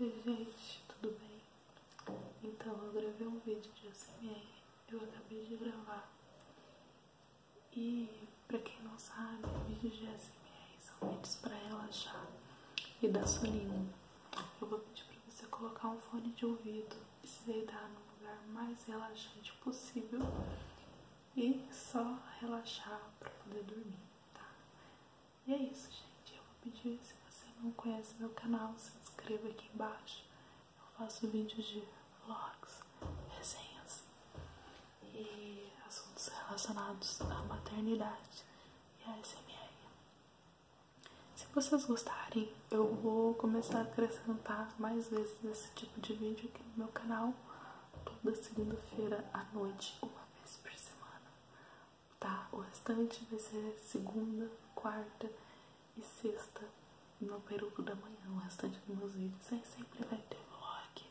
Oi gente, tudo bem? Então eu gravei um vídeo de ASMR, eu acabei de gravar e pra quem não sabe, vídeos de ASMR são vídeos pra relaxar e dar soninho. Eu vou pedir pra você colocar um fone de ouvido e se deitar no lugar mais relaxante possível e só relaxar para poder dormir, tá? E é isso, gente. Eu vou pedir, se você não conhece meu canal, se inscreva aqui embaixo. Eu faço vídeos de vlogs, resenhas e assuntos relacionados à maternidade e à SMR. Se vocês gostarem, eu vou começar a acrescentar mais vezes esse tipo de vídeo aqui no meu canal, toda segunda-feira à noite, uma vez por semana, tá? O restante vai ser segunda, quarta e sexta, no peruco da manhã, o restante dos meus vídeos. Aí sempre vai ter vlog,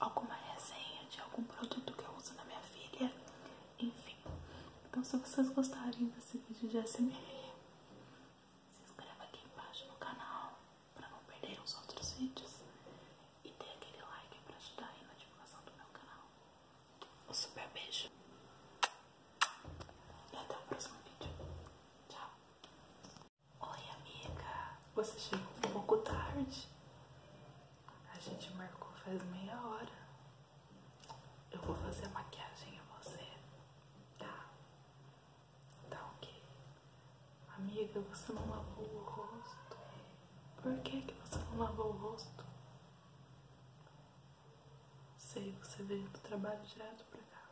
alguma resenha de algum produto que eu uso na minha filha, enfim, então se vocês gostarem desse vídeo de ASMR, se inscreva aqui embaixo no canal para não perder os outros vídeos e dê aquele like para ajudar aí na divulgação do meu canal. Um super beijo e até o próximo vídeo. Tchau! Oi amiga, você chegou um pouco tarde. A gente marcou faz meia hora. Eu vou fazer maquiagem a você, tá? Tá ok. Amiga, você não lavou o rosto. Por que, que você não lavou o rosto? Sei, você veio do trabalho direto pra cá.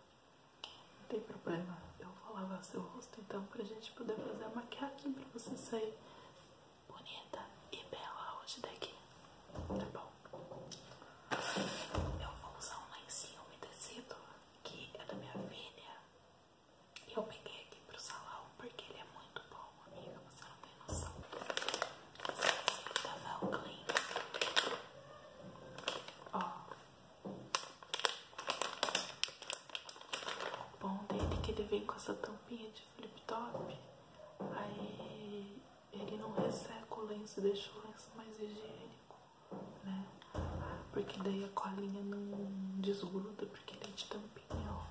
Não tem problema, eu vou lavar seu rosto então pra gente poder fazer a maquiagem pra você sair bonita e bela hoje daqui, tá bom? Eu vou usar um lencinho umedecido que é da minha filha. E eu peguei aqui pro salão porque ele é muito bom, amiga. Você não tem noção. Esse lencinho da Velclean. Ó. O bom dele é que ele vem com essa tampinha de flip top. Aí ele não resseca é o lenço, e deixa o lenço mais higiênico, né? Porque daí a colinha não desgruda, porque ele é de tampinha, ó.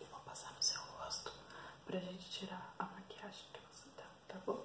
Eu vou passar no seu rosto pra gente tirar a maquiagem que você tá, tá bom?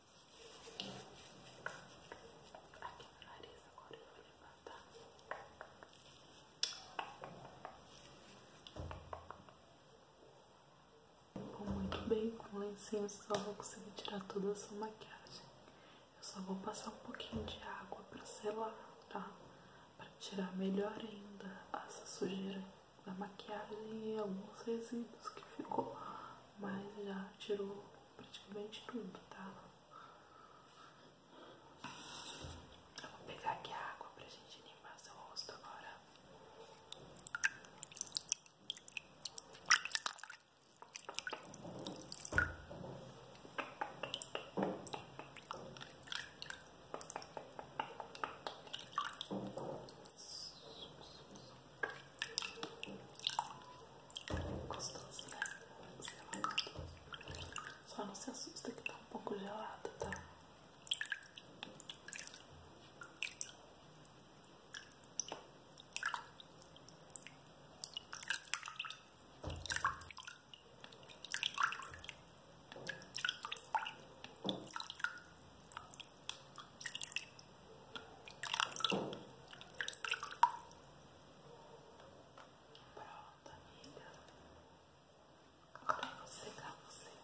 Aqui no nariz agora eu vou levantar. muito bem com o lencinho, só vou conseguir tirar toda a sua maquiagem. Eu só vou passar um pouquinho de água para selar, tá? para tirar melhor ainda essa sujeira a maquiagem e alguns resíduos que ficou, mas já tirou praticamente tudo, tá? Eu vou pegar aqui a água pra gente limpar seu rosto agora. Gostoso, né? É Só não se assusta que tá um pouco gelado, tá? Pronto, amiga. Agora eu vou você,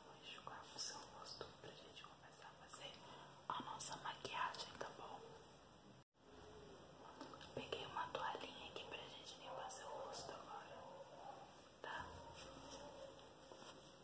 vou enxugar o seu rosto pra gente começar a fazer a nossa maquiagem, tá bom? Peguei uma toalhinha aqui pra gente limpar seu rosto agora, tá?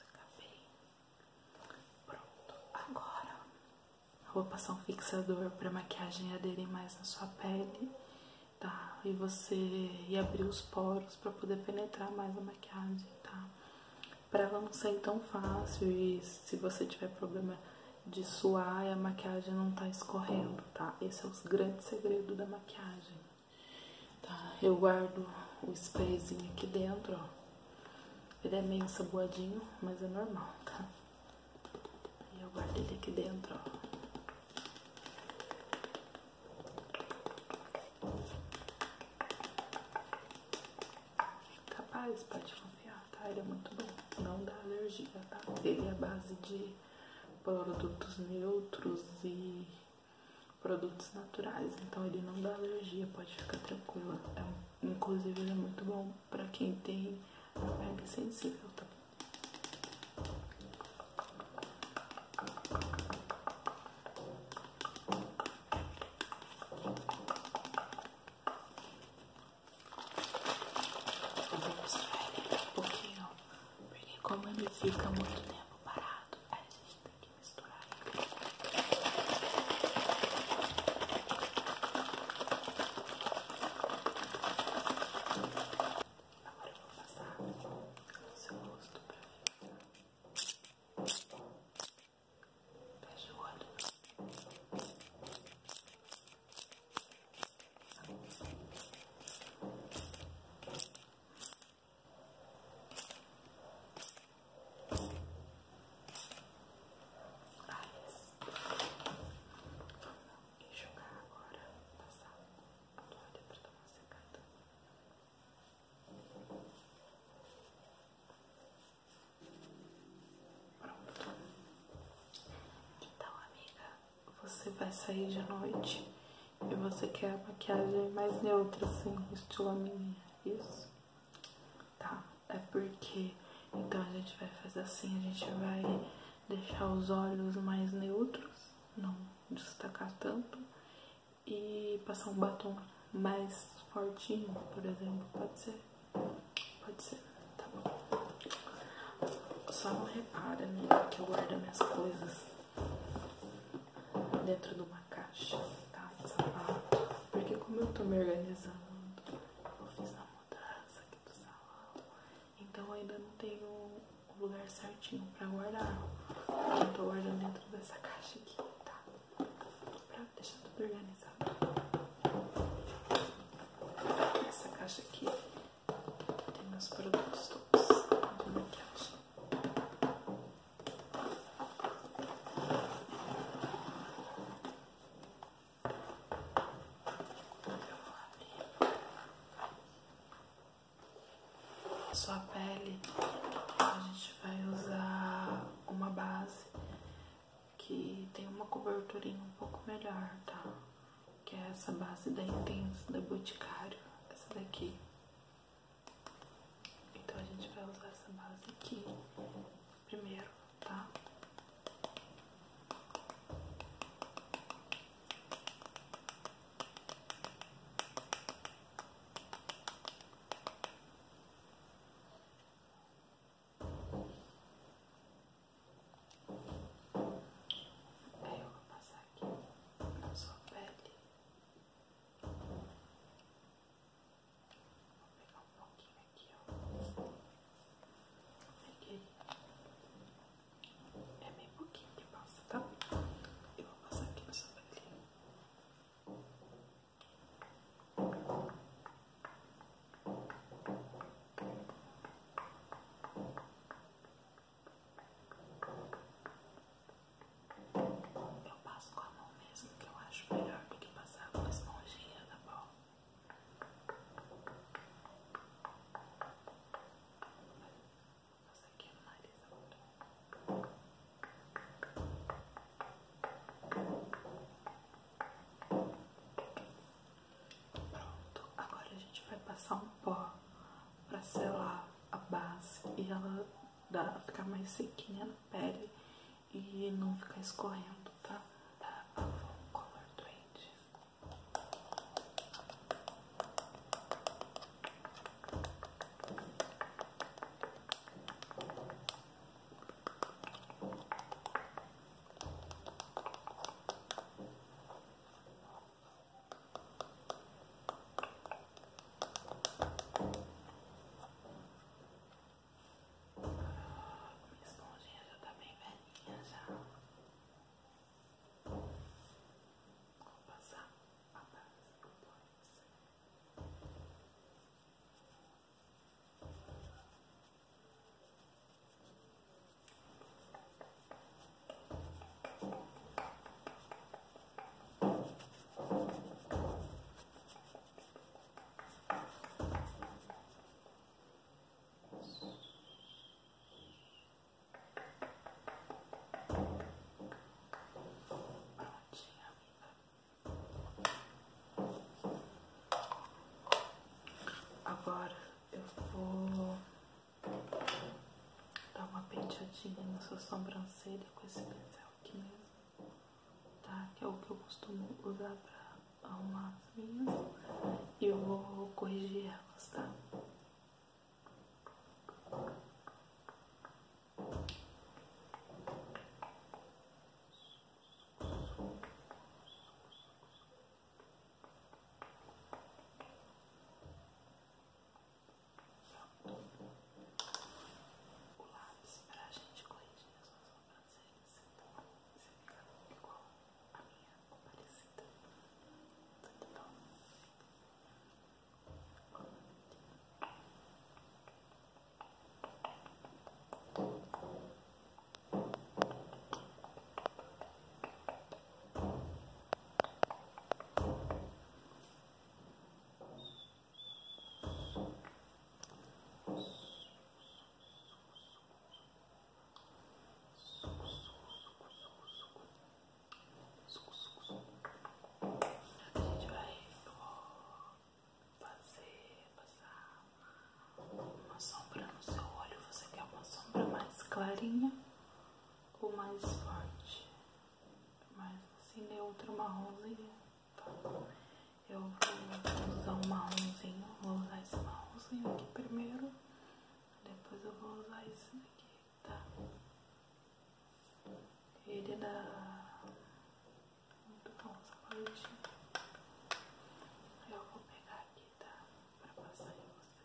Acabei. Pronto. Agora eu vou passar um fixador para maquiagem aderir mais na sua pele, tá? E você e abrir os poros para poder penetrar mais a maquiagem, tá? Para ela não sair tão fácil e se você tiver problema de suar e a maquiagem não tá escorrendo, tá? Esse é o grande segredo da maquiagem, tá? Eu guardo o sprayzinho aqui dentro, ó. Ele é meio saboadinho, mas é normal, tá? E eu guardo ele aqui dentro, ó. Capaz, pode confiar, tá? Ele é muito bom. Não dá alergia, tá? Ele é a base de produtos neutros e produtos naturais, então ele não dá alergia, pode ficar tranquilo, É, inclusive ele é muito bom para quem tem a pele sensível, tá? Eu vou mostrar ele daqui pouquinho, porque como ele fica muito tempo parado, a gente tem que misturar ele. Agora eu vou passar o seu rosto pra ele. Fecha o olho. Fecha e jogar agora, passar a toalha para tomar uma Então, amiga, você vai sair de noite e você quer a maquiagem mais neutra, assim, estilo a minha, isso? Tá, é porque, então a gente vai fazer assim, a gente vai deixar os olhos mais neutros, não destacar tanto, e passar um batom mais fortinho, por exemplo, pode ser? Pode ser tá bom? Só não repara, amiga, que eu guardo minhas coisas dentro de uma caixa, tá? Sapato. Porque como eu tô me organizando, eu fiz a mudança aqui do salão, então ainda não tenho o lugar certinho pra guardar. Eu tô guardando dentro dessa caixa aqui, tá? Pra deixar tudo organizado. Essa caixa aqui tem meus produtos sua pele. A gente vai usar uma base que tem uma coberturinha um pouco melhor, tá? que é essa base da Intense, da Boticário, essa daqui. Então a gente vai usar essa base aqui primeiro, tá? eu vou passar aqui na sua pele. Vou pegar um pouquinho aqui, ó. Peguei. É meio pouquinho que passa, tá? Eu vou passar aqui na sua pele. Aí eu passo com a mão mesmo, que eu acho melhor do que passar com a esponjinha, tá bom? Essa aqui é nariz agora. Agora Pronto, agora a gente vai passar um pó para selar a base e ela dá, ficar mais sequinha na pele e não ficar escorrendo, tá? Tá, tá color trade. Minha esponjinha já tá bem velhinha já. Vou passar atrás do dois. Agora eu vou Dá uma penteadinha na sua sobrancelha com esse pincel aqui mesmo, tá? Que é o que eu costumo usar pra arrumar as minhas. E eu vou corrigir elas, tá? Tá o lápis pra gente corrigir as suas sobrancelhas se ficar igual a minha ou parecida. Tudo bom? Vou a gente vai fazer passar uma, uma sombra no seu olho, você quer uma sombra mais clarinha ou mais forte? Mais assim, neutro marronzinho. Tá? Eu vou usar um marronzinho, vou usar esse marronzinho aqui primeiro, depois eu vou usar esse daqui, tá? Ele é dá Muito bom essa Eu vou pegar aqui, tá? Pra passar em você.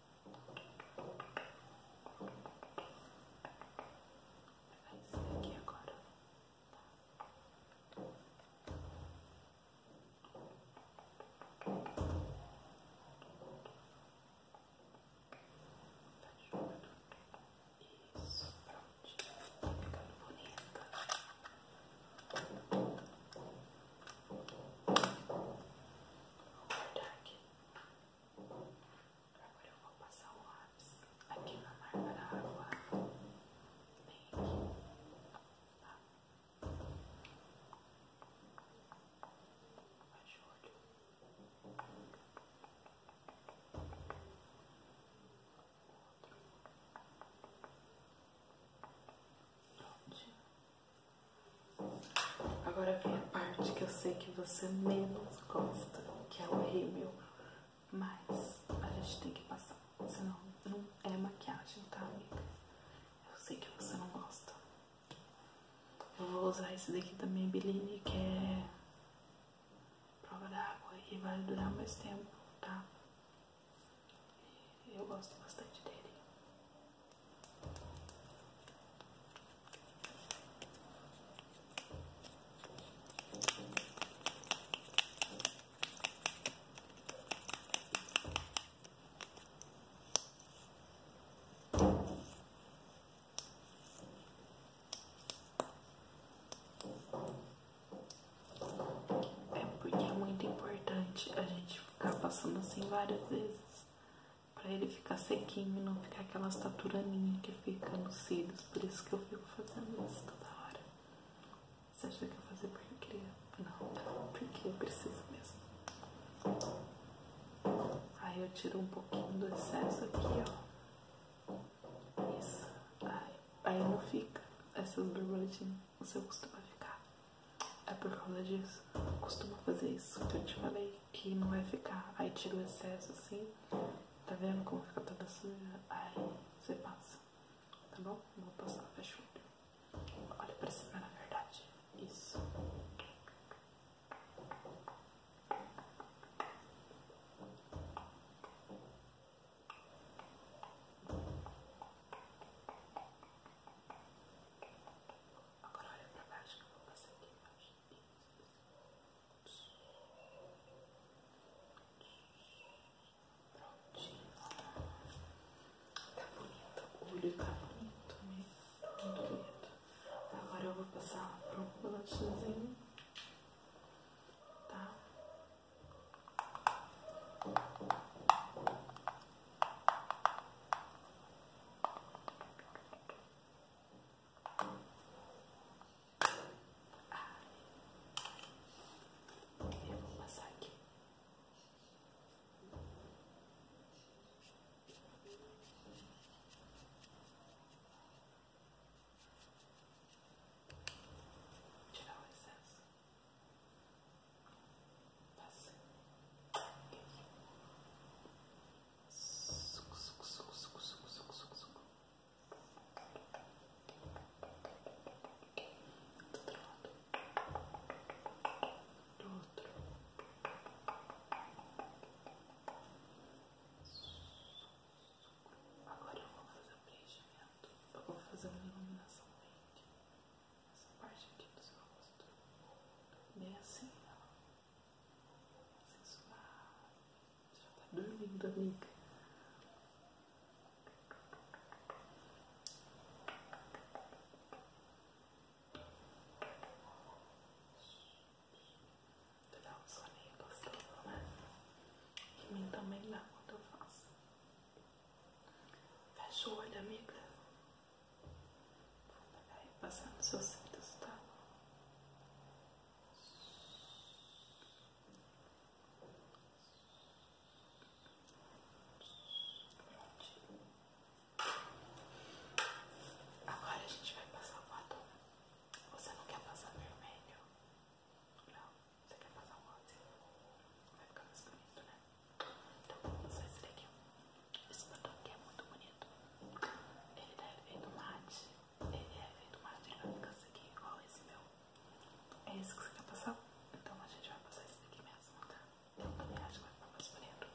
Isso, pronto, tá ficando bonita. Vou Agora eu vou passar o lápis aqui na marca da água. Bem aqui. Tá? Baixa Agora vem a parte que eu sei que você menos gosta, que é horrível, mas a gente tem que passar, senão não é maquiagem, tá, amiga? Eu sei que você não gosta. Eu vou usar esse daqui também, Maybelline, que é prova d'água e vai durar mais tempo, tá? Eu gosto bastante dele. É porque é muito importante a gente ficar passando assim várias vezes, pra ele ficar sequinho e não ficar aquela estaturaninha que fica nos cílios, por isso que eu fico fazendo isso toda hora. Você acha que eu fazer porque eu queria? Não, porque eu preciso mesmo. Aí eu tiro um pouquinho do excesso aqui, ó. Isso. Aí, aí não fica essas borboletinhas, o seu costuma ficar. É por causa disso. costumo fazer isso que eu te falei, que não vai ficar. Aí tira o excesso assim, tá vendo como fica toda suja? Aí você passa, tá bom? Vou passar, fecha o olho. Olha pra cima, na verdade. Isso. Agora olha pra baixo que eu vou passar aqui Prontinho. Tá bonito. O olho tá bonito mesmo. Muito tá bonito. Agora eu vou passar pro bolachazinho. Tá? E eu vou passar aqui. Tirar o excesso. Agora eu vou fazer preenchimento. Eu vou fazer uma iluminação verde essa parte aqui do seu rosto, bem é assim, ó, sensual, já tá dormindo, amiga. Tu dá um soninho gostoso, né? Que mim também dá quando eu faço. Fecha o olho, amiga. Vou passar nos seus cintos, tá? Agora a gente vai passar o batom. Você não quer passar vermelho? Não, você quer passar o rosa? Vai ficar mais bonito, né? Então, só esse daqui. Esse botão aqui é muito bonito. Ele é feito mate. Ele é feito mate, ele vai ficar aqui igual esse meu. É esse que você quer passar? Então a gente vai passar esse daqui mesmo, tá? Eu também acho que vai ficar mais bonito.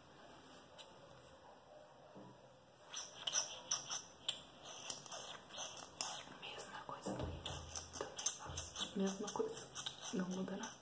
Mesma coisa do Rio. Também faço. Mesma coisa. Não muda nada.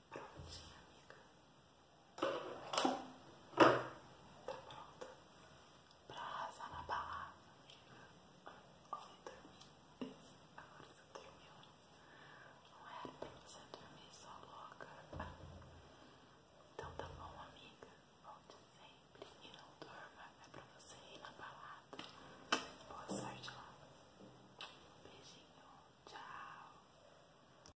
Pronto, amiga. Tá pronta pra arrasar na balada, amiga. Ontem dormi. Agora você dormiu. Não era pra você dormir só louca. Então tá bom, amiga. Volte sempre e não durma. É pra você ir na balada. Boa sorte lá. Beijinho. Tchau.